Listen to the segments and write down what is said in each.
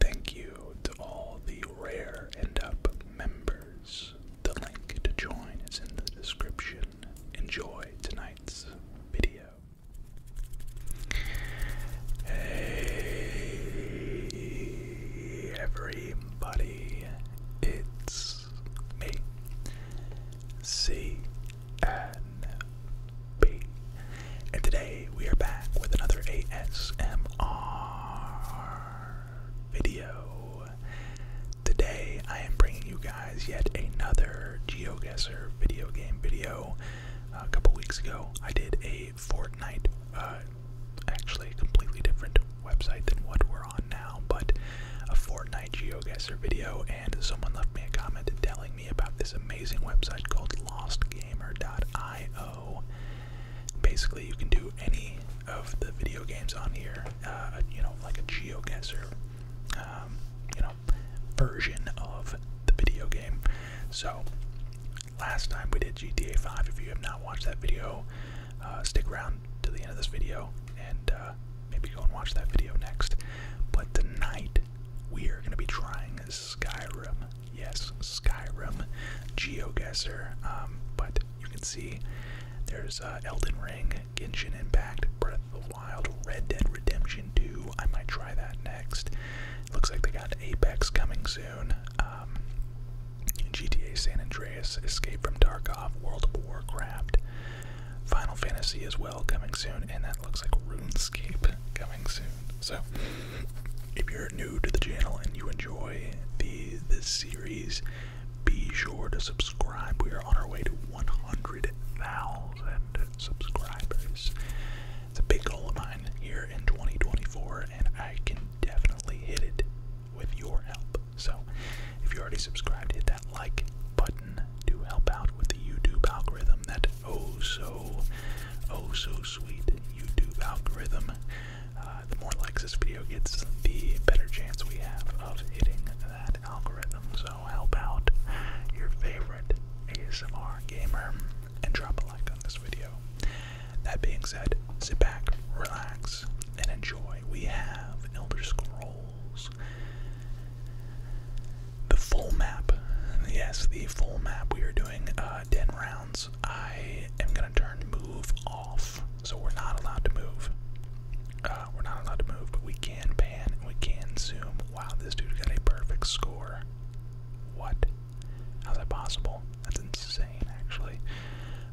Thank you to all the Rare end Up members. The link to join is in the description. Enjoy tonight's video. Hey, everybody, it's me, C and today we are back with another ASMR video. Today I am bringing you guys yet another GeoGuessr video game video. a couple weeks ago, I did a Fortnite, uh, actually a completely different website than what we're on now, but a Fortnite GeoGuessr video, and someone left me a comment telling me about this amazing website called LostGamer.io. Basically, you can do any of the video games on here, uh, you know, like a GeoGuessr, um, you know, version of the video game. So, last time we did GTA 5. If you have not watched that video, uh, stick around to the end of this video and uh, maybe go and watch that video next. But tonight, we are going to be trying Skyrim. Yes, Skyrim, GeoGuessr. Um, but you can see there's uh, Elden Ring, Genshin Impact, Breath of the Wild, Red Dead Redemption 2. I might try that next. Looks like they got Apex coming soon. Um, GTA San Andreas, Escape from Tarkov, World of Warcraft, Final Fantasy as well coming soon, and that looks like RuneScape coming soon. So if you're new to the channel and you enjoy the this series, be sure to subscribe. We are on our way to 100,000 subscribers. It's a big goal of mine here in 2024, and I can definitely hit it with your help. So, if you already subscribed, hit that like button to help out with the YouTube algorithm that oh so oh so sweet YouTube algorithm. Uh, the more likes this video gets, the better chance we have of hitting that algorithm. So help out your favorite ASMR gamer and drop a like on this video. That being said, sit back, relax, and enjoy. We have Elder Scrolls. The full map. Yes, the full map. We are doing uh, 10 round. I am gonna turn move off. So we're not allowed to move. Uh, we're not allowed to move, but we can pan and we can zoom. Wow, this dude got a perfect score. What? How's that possible? That's insane, actually.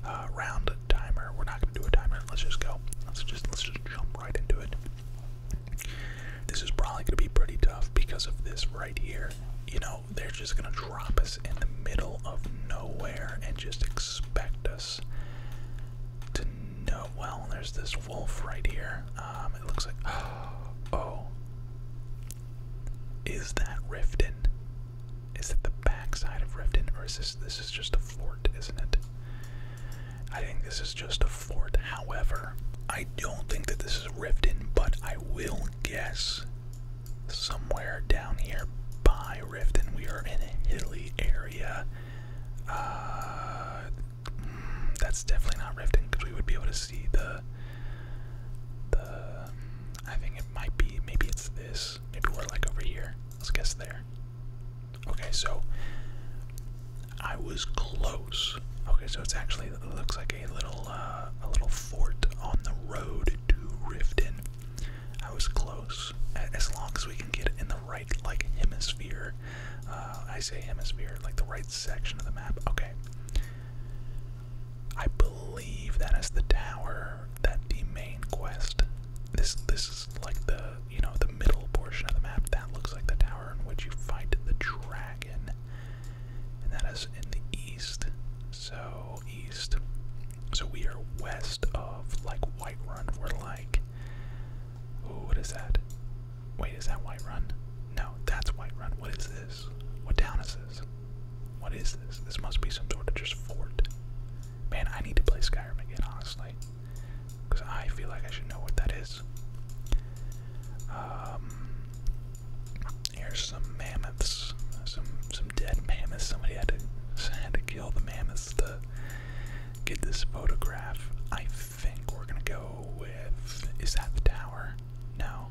Uh, round timer. We're not gonna do a timer. Let's just go. Let's just let's just jump right into it. This is probably gonna be pretty tough because of this right here. You know, they're just gonna drop us in the middle of nowhere and just expect us to know. Well, there's this wolf right here. Um, it looks like. Oh. Is that Riften? Is it the backside of Riften, or is this this is just a fort, isn't it? I think this is just a fort. However, I don't think that this is Riften, but I will guess somewhere down here by Riften. We are in a hilly area. Uh, mm, that's definitely not Riften because we would be able to see the. The. I think it might be. Maybe it's this. Maybe we're like over here. Let's guess there. Okay, so I was close. Okay, so it's actually looks like a little uh, a little fort on the road to Riften. I was close. As long as we can get in the right like hemisphere, uh, I say hemisphere, like the right section of the map. Okay. I believe that is the tower that the main quest. This this is like the you know the middle portion of the map that looks like the tower in which you fight the dragon and that is in the east. So east. So we are west of like Whiterun. We're like, what is that? Wait, is that Whiterun? No, that's Whiterun. What is this? What town is this? What is this? This must be some sort of just fort. Man, I need to play Skyrim again, honestly, because I feel like I should know what that is. Um, Here's some mammoths, some some dead mammoths. Somebody had to had to kill the mammoths to get this photograph. I think we're gonna go with. Is that the tower? No.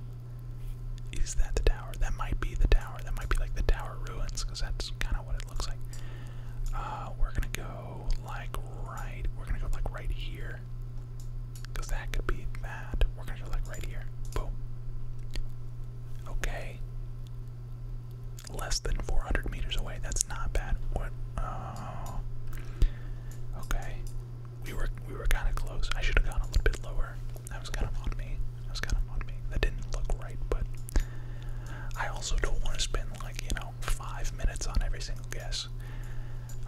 Is that the tower? That might be the tower. That might be like the tower ruins, because that's kind of what it looks like. Uh, we're gonna go like right. We're gonna go like right here. Because that could be that. We're going to select right here. Boom. Okay. Less than 400 meters away. That's not bad. What? Uh, okay. We were we were kind of close. I should have gone a little bit lower. That was kind of on me. That was kind of on me. That didn't look right, but I also don't want to spend like you know five minutes on every single guess.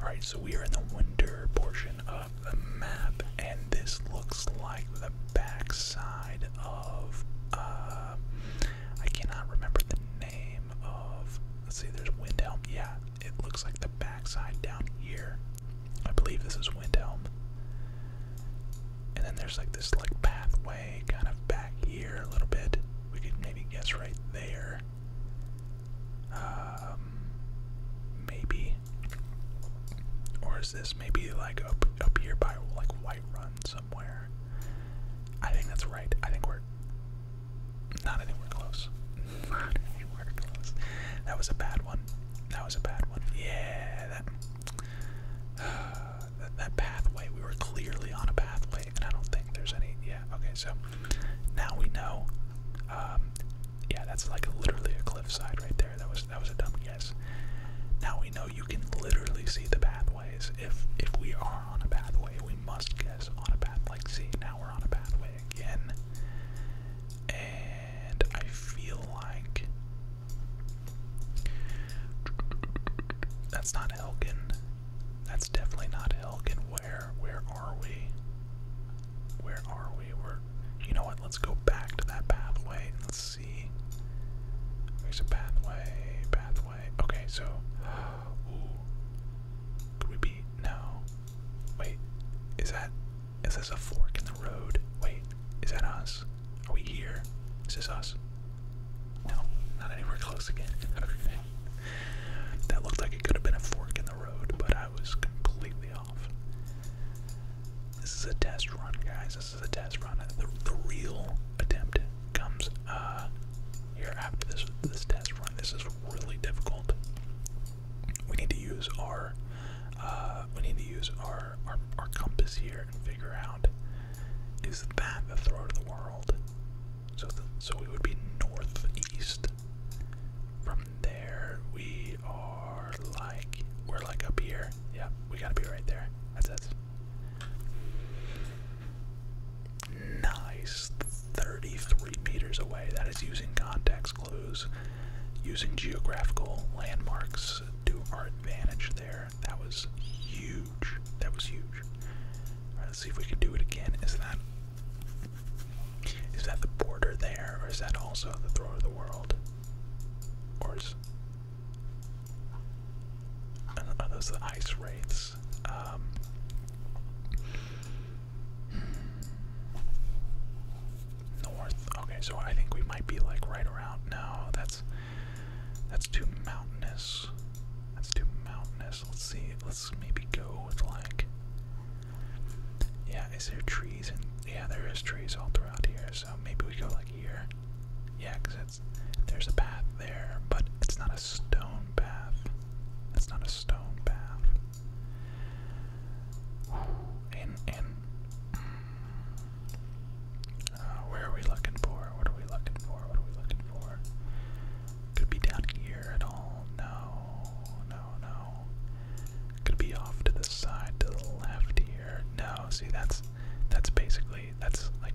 All right, so we are in the winter portion of up map, and this looks like the backside of. Uh, I cannot remember the name of. Let's see, there's Windhelm. Yeah, it looks like the backside down here. I believe this is Windhelm. And then there's like this like pathway kind of back here a little bit. We could maybe guess right there. Um, maybe or is this maybe like up up here by like White Run somewhere? I think that's right. I think we're not anywhere close. Not anywhere close. That was a bad one. That was a bad one. Yeah, that, that pathway. We were clearly on a pathway, and I don't think there's any. Yeah. Okay. So now we know. Um, yeah, that's like literally a cliffside right there. That was that was a dumb guess. Now we know you can literally see the pathways. If if we are on a pathway, we must guess on a path. Like see, now we're on a pathway again. And I feel like that's not Elgin. That's definitely not Elgin. Where where are we? Where are we? we you know what? Let's go back to that pathway let's see. There's a pathway, pathway. Okay, so could we be no? Wait, is that is this a fork in the road? Wait, is that us? Are we here? Is this us? No, not anywhere close again. Okay. That looked like it could have been a fork in the road, but I was completely this is a test run, guys. This is a test run. The, real attempt comes uh, here after this this test run. This is really difficult. We need to use our uh, we need to use our, our compass here and figure out is that the throat of the world? So the, so we would be northeast from there, we are like, we're like up here. Yeah, we gotta be right there. That's it. Nice. 33 meters away. That is using context clues, using geographical landmarks to our advantage there. That was huge. That was huge. right, let's see if we can do it again. Is that is that the border there, or is that also the throne of the world? Or Are those the ice wraiths? Um, north. Okay, so I think we might be like right around. No, that's that's too mountainous. That's too mountainous. Let's see. Let's maybe go with like yeah, is there trees? And yeah, there is trees all throughout here. So maybe we go like here. Yeah, because it's there's a path there, but it's not a stone path. It's not a stone path. And and uh, where are we looking for? What are we looking for? What are we looking for? Could be down here at all? No, no, no, no. Could be off to the side, to the left here. No, see that's that's basically that's like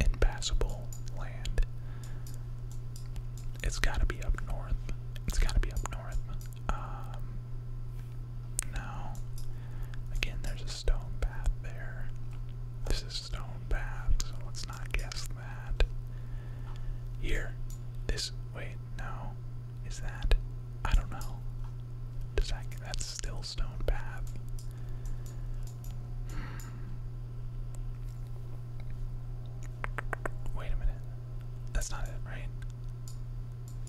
impassable land. It's gotta be up north. It's gotta be up north. Um no. Again there's a stone path there. This is stone path, so let's not guess that. Here. This wait, no. Is that? I don't know. Does that? That's still path. Wait a minute. That's not it, right?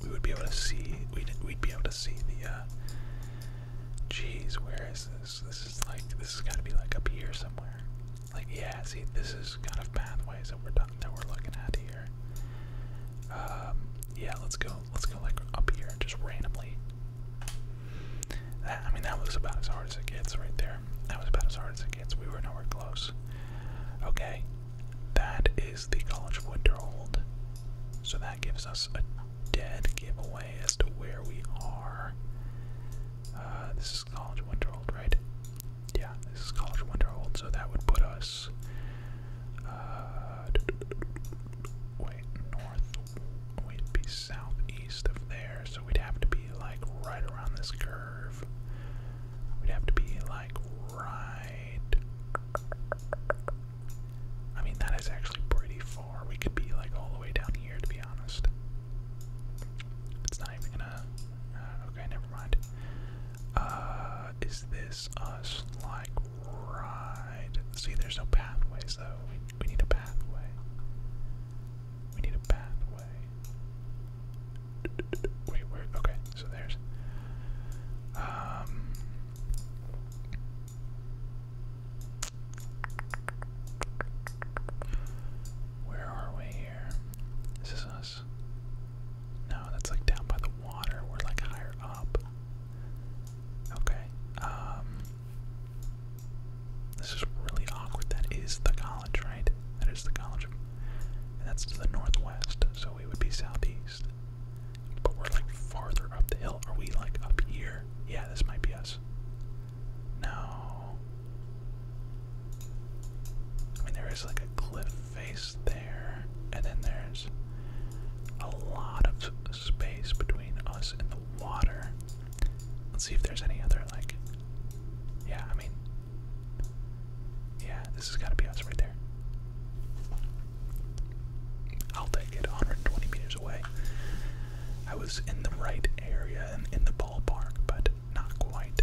We would be able to see. We'd be able to see the. uh Jeez, where is this? This is like. This is got to be like up here somewhere. Like, yeah, see, this is kind of pathways that we're that we're looking at here. Um, yeah, let's go, let's go like up here, just randomly. That, I mean, that was about as hard as it gets right there. That was about as hard as it gets. We were nowhere close. Okay, that is the College of Winterhold. So that gives us a dead giveaway as to where we are. Uh, this is is College Winterhold, right? Yeah, this is College Winterhold, so that would put us. Uh, wait, north. We'd be southeast of there, so we'd have to be like right around this curve. We'd have to be like right. I mean, that is actually pretty far. We could be like all the way down here, to be honest. It's not even gonna. Uh, okay, never mind. Uh, is this us, like, right? See, there's no pathways, So We, we need a pathway. We need a pathway. Wait, where? Okay, so there's. Um. Where are we here? This is us this? No, that's like down by the water. We're like higher up. Okay. Um, this is really awkward. That is the college, right? That is the college. And that's to the northwest, so we would be southeast. But we're like farther up the hill. Are we like up here? Yeah, this might be us. No. I mean, there is like a cliff face there, and then there's a lot of space between us and the water. Let's see if there's any other, like. Yeah, I mean. Yeah, this has got to be us right there. I'll take it 120 meters away. I was in the right area and in the ballpark, but not quite,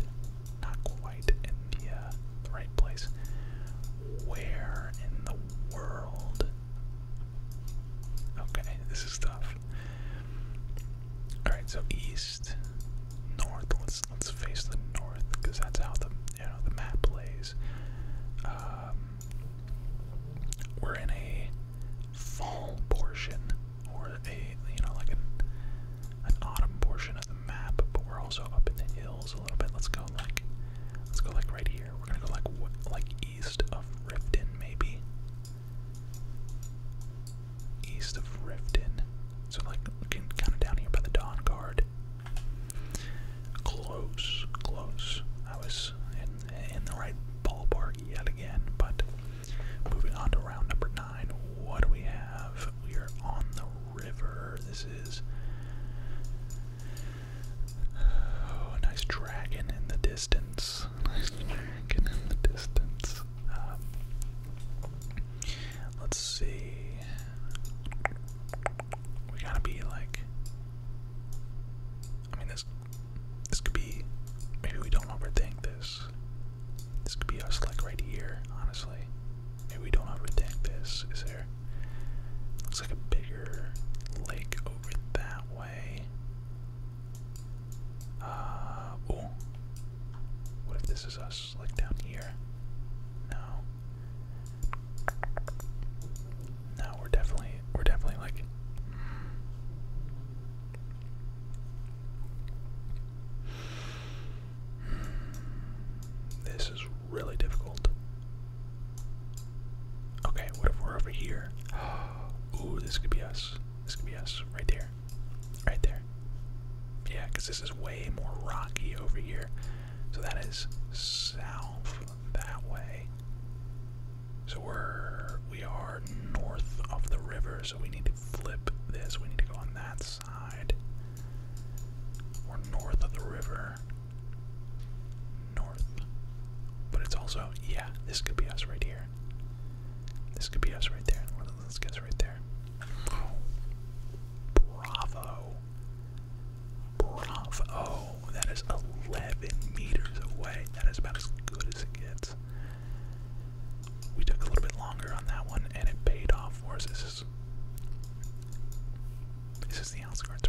not quite in the, right place. Where in the world? Okay, this is tough. Alright, so east, north, let's let's face the north, because that's how the you know the map plays. Um we're in a fall portion or a you know like a an autumn portion of the map, but we're also up in the hills a little bit. Let's go like let's go like right here. We're gonna go like like east of Riften maybe. East of Riften. So like looking kinda down here by the Dawn Guard. Close, close. I was in in the right ballpark yet again, but moving on to round number nine. What do we have? We are on the river. This is oh, a nice dragon in the distance. Nice dragon in the distance. Um, let's see. We gotta be like. I mean, this this could be. Maybe we don't overthink this. This could be us, like right here. Honestly, Maybe we don't overtake this. Is there? Looks like a bigger lake over that way. Uh, What if this is us, like down here? No. No, we're definitely, we're definitely like. This is really difficult. Okay, what if we're over here? Ooh, this could be us. This could be us. Right there. Right there. Yeah, because this is way more rocky over here. So that is south that way. So we're we are north of the river, so we need to flip this. We need to go on that's or north of the river. North. But it's also, yeah, this could be us right here. This could be us right there. Let's guess right there. bravo. Bravo. That is 11 meters away. That is about as good as it gets. We took a little bit longer on that one, and it paid off for us this is the outskirts.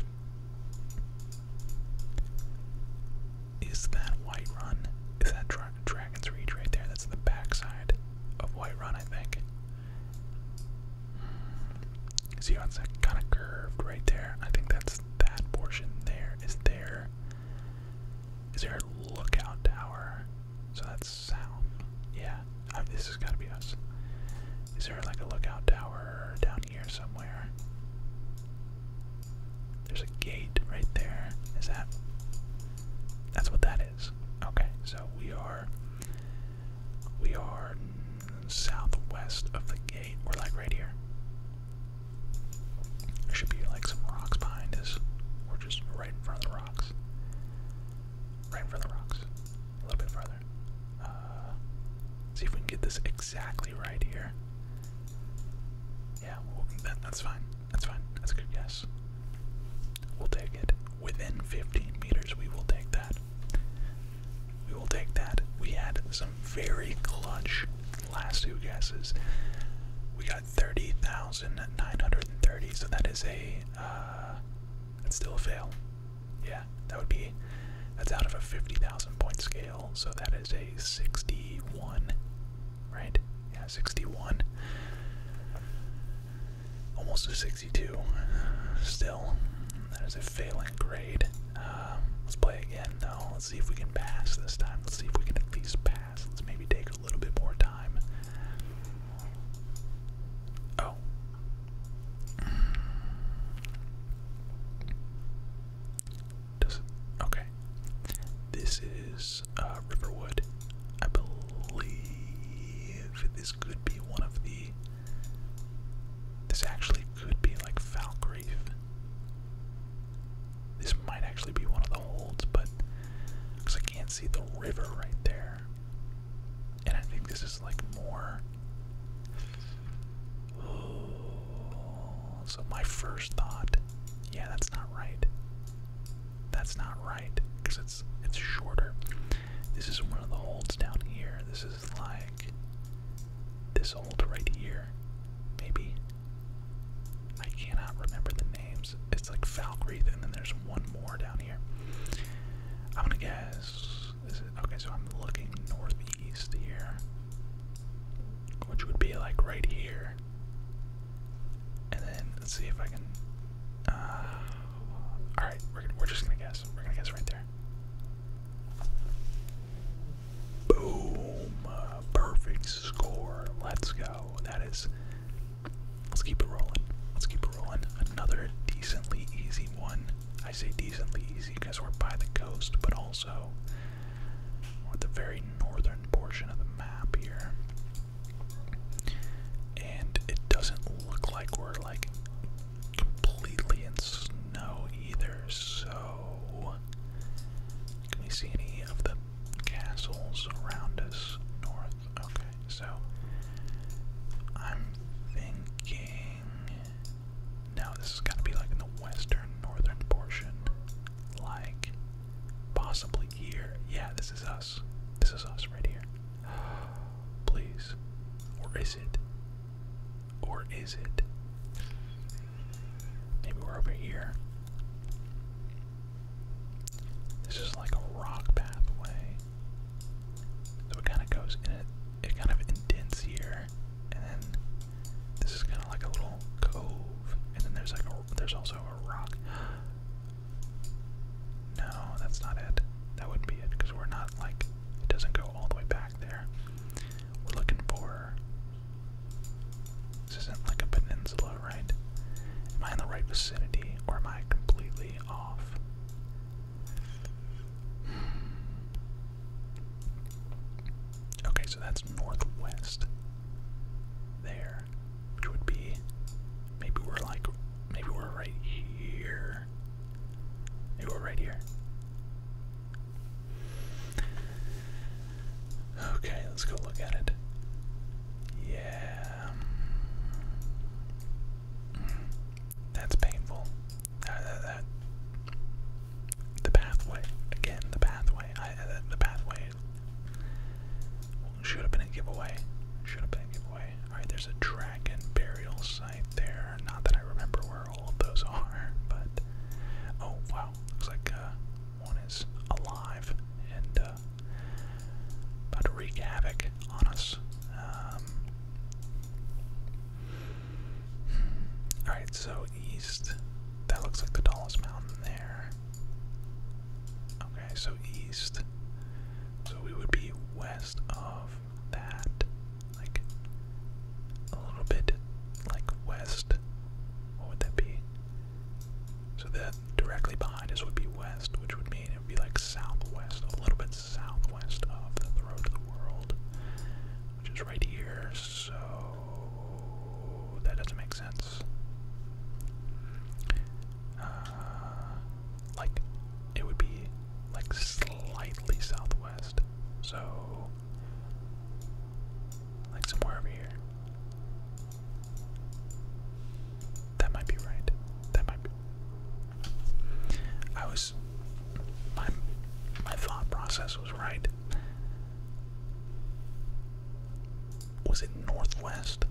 Is that White Run? Is that Dragon's Reach right there? That's the backside of White Run, I think. See how it's kind of curved right there? I think that's that portion there. Is there? Is there a lookout tower? So that's south. Yeah, oh, this has got to be us. Is there like a lookout tower down here somewhere? There's a gate right there. Is that? That's what that is. Okay, so we are. We are southwest of the gate. We're like right here. There should be like some rocks behind us. We're just right in front of the rocks right for the rocks. A little bit farther. Uh, see if we can get this exactly right here. Yeah, well, that, that's fine. That's fine. That's a good guess. We'll take it. Within 15 meters, we will take that. We will take that. We had some very clutch last two guesses. We got 30,930, so that is a uh, that's still a fail. Yeah, that would be. That's out of a 50,000 point scale, so that is a 61, right? Yeah, 61. Almost a 62. Still, that is a failing grade. Um, let's play again, though. Let's see if we can pass this time. Let's see if we can at least pass. Let's maybe take a little bit more time. Oh. Okay. This is uh, Riverwood. I believe this could be one of the. This actually could be like Falkreath. This might actually be one of the holds, but because I can't see the river right there. And I think this is like more. so my first thought, yeah, that's not right. That's not right because it's it's shorter. This is one of the holds down here. This is like this hold right here. Maybe I cannot remember the name. It's like Falkreath, and then there's one more down here. I'm gonna guess. Is okay, so I'm looking northeast here, which would be like right here. And then let's see if I can. Uh, all right, we're we're just gonna guess. We're gonna guess right there. Boom! perfect score. Let's go. That is Let's keep it rolling. Let's keep it rolling. Another decently easy one. I say decently easy because we're by the coast, but also we're the very northern portion of the map here. And it doesn't look like we're like completely in snow either, so can we see any of the castles around us north? Okay. So I'm thinking now this is gotta be like in the western northern portion. Like possibly here. Yeah, this is us. This is us right here. Please. Or is it? Or is it? Maybe we're over here. This is like a rock pathway. So it kind of goes in it, kind of indents here, and then this is kind of like a little cove, and then there's like there's also a rock. No, that's not it. That would not be it because we're not like it doesn't go all the way back there. We're looking for. This isn't like a peninsula, right? Am I in the right vicinity, or am I completely Okay, so that's northwest there, which would be maybe we're like maybe we're right here. Maybe we're right here. Okay, let's go look at it. Yeah. That's painful. That, uh, uh, uh, The pathway. Again, the pathway. the pathway should have been a giveaway. Should have been a giveaway. Alright, there's a dragon burial site there. Not that I remember where all of those are, but. Oh, wow. Looks like one is alive and about to wreak havoc on us. Um, hmm. all right, so east. That looks like the tallest mountain there. Okay, so east. So we would be west of that, like a little bit like west. What would that be? So that directly behind us would be west, which would mean it would be like southwest, a little bit southwest of the road to the world, which is right here, so that doesn't make sense. Uh, like, it would be like slightly southwest, so like somewhere over here. That might be right. That might be. I was. My, my thought process was right. Was it northwest?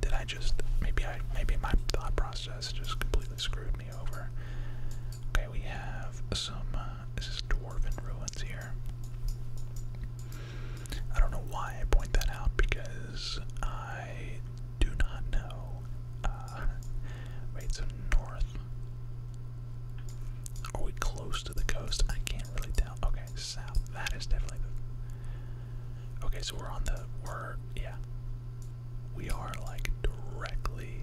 Did I just maybe I maybe my thought process just completely screwed me over? Okay, we have some. Uh, this is dwarven ruins here. I don't know why I point that out because I do not know. Uh, wait, so north. Are we close to the coast? I can't really tell. Okay, south. That is definitely Okay, so we're on the. We're. Yeah. We are like directly.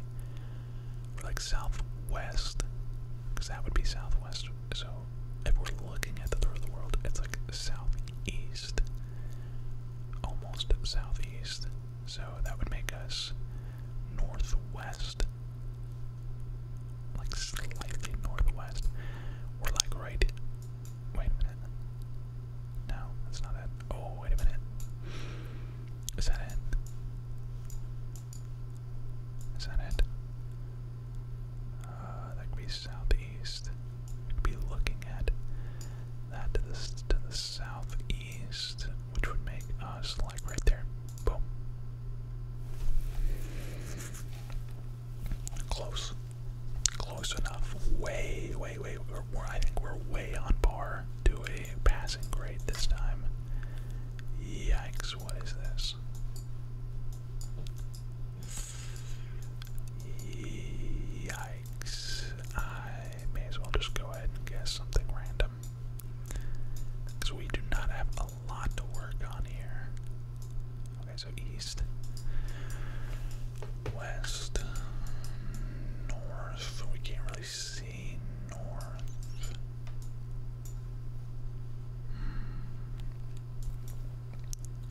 We're like southwest. Because that would be southwest. So if we're looking at the third of the world, it's like southeast almost southeast, so that would make us northwest, like slightly northwest. We're like right. Wait a minute. No, that's not it. Oh, wait a minute. Is that it? Is that it? Uh, that could be southeast. be looking at that to the, to the southeast, which would make us like right there. Close. Close enough. Way, way, way. I think we're way on par to a passing grade this time. Yikes, what is this? Yikes. I may as well just go ahead and guess something random. Because we do not have a lot to work on here. Okay, so east, west, north. We can't really see north. Hmm.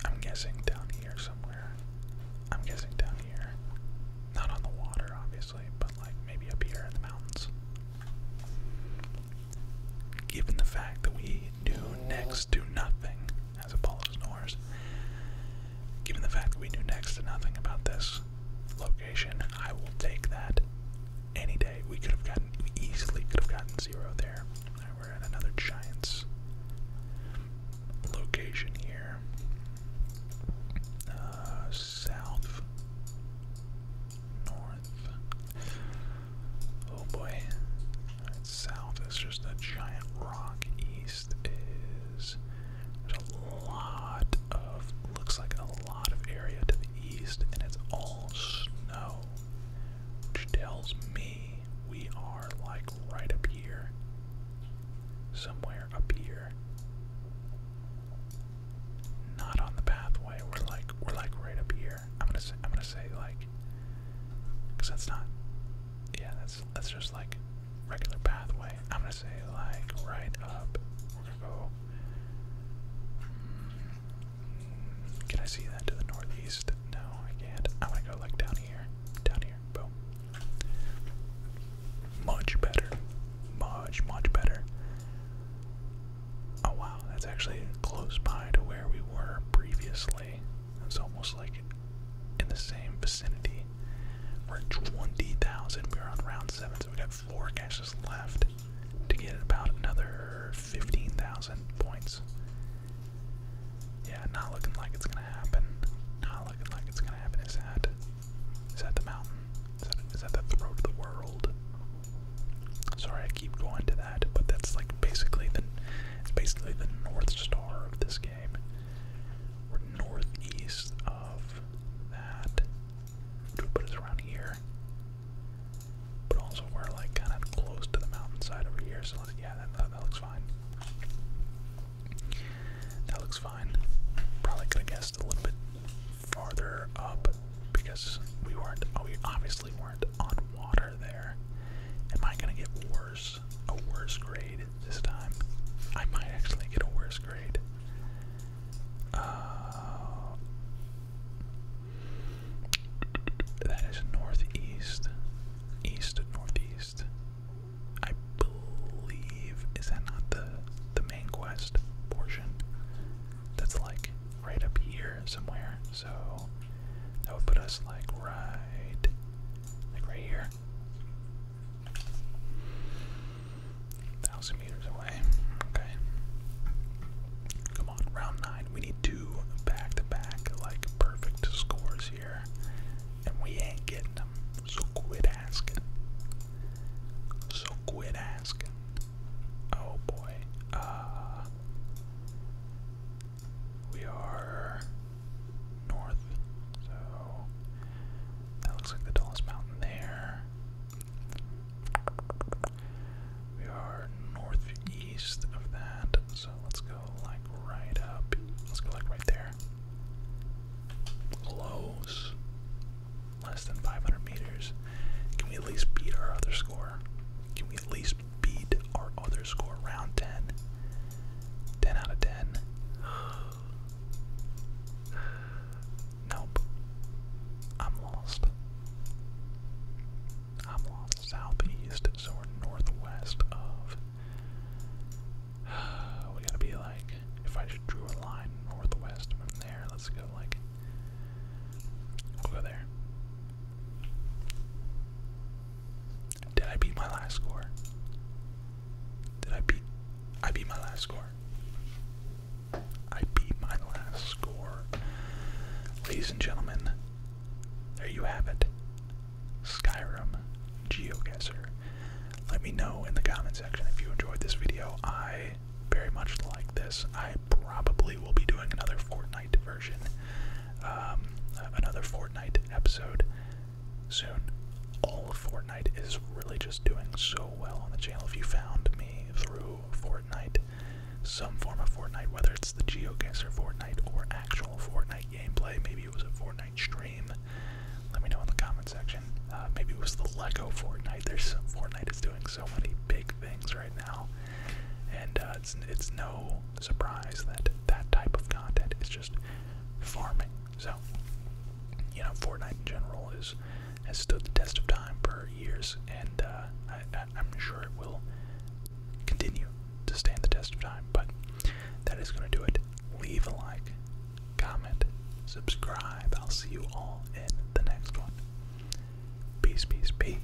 I'm guessing down here somewhere. I'm guessing down here. Not on the water, obviously, but like maybe up here in the mountains. Given the fact that we do next to nothing as Apollo snores, given the fact that we knew next to nothing about this location, I will take that any day. We could have gotten, easily could have gotten zero there we're at another Giants location here. Uh, south, north. Oh boy. south is just a giant rock. East is. There's a lot of. Looks like a lot of area to the east, and it's all snow. Which tells me we are like right up here. Somewhere up here. Not on the pathway. We're like we're like right up here. I'm gonna say I'm gonna say like that's not yeah, that's that's just like regular pathway. I'm gonna say like right up. We're gonna go mm, can I see that to the northeast? No, I can't. I'm gonna go like down here. Down much better. Much, much better. Oh wow, that's actually close by to where we were previously. It's almost like in the same vicinity. We're 20,000. We're on round 7, so we got 4 caches left to get about another 15,000 points. Yeah, not looking like it's gonna happen. Not looking like it's gonna happen. Is that is that the mountain? Is that the throat of the world? Sorry, I keep going to that, but that's like basically the it's basically the north star of this game. We're northeast of that. To put around here, but also we're like kind of close to the mountainside over here. So yeah, that, that looks fine. That looks fine. Probably could have guessed a little bit farther up because we weren't, oh, we obviously weren't on water there. Am I gonna get worse, a worse grade this time? I might actually get a worse grade. Uh, that is northeast, east, northeast. I believe is that not the the main quest portion? That's like right up here somewhere. So that would put us like right like right here. Thousand meters away. Okay. Come on, round nine. We need two back to back like perfect scores and we ain't getting them. So quit asking. So quit asking. Oh boy. Uh, we are north, so that looks like the tallest mountain there. We are northeast of that, so let's go like right up. Let's go like right there. Close. Less than 500 meters. Can we at least beat our other score? Can we at least beat our other score? Round 10. 10 out of 10. Nope. I'm lost. I'm lost southeast, so northwest of. We gotta be like, if I just drew a line northwest from there, let's go like. we there. Did I beat my last score? Did I beat. I beat my last score. I beat my last score. Ladies and gentlemen, there you have it. Skyrim GeoGuessr. Let me know in the comment section if you enjoyed this video. I very much like this. I probably will be doing another Fortnite version, um, another Fortnite episode soon. All of Fortnite is really just doing so well on the channel. If you found me through Fortnite, some form of Fortnite, whether it's the GeoGuessr Fortnite or actual Fortnite, Fortnite gameplay. Maybe it was a Fortnite stream. Let me know in the comment section. Uh, maybe it was the Lego Fortnite. There's Fortnite is doing so many big things right now, and uh, it's it's no surprise that that type of content is just farming. So, you know, Fortnite in general is has stood the test of time for years, and uh, I, I, I'm sure it will continue to stand the test of time. But that is going to do it. Leave a like, comment, subscribe. I'll see you all in the next one. Peace, peace, peace.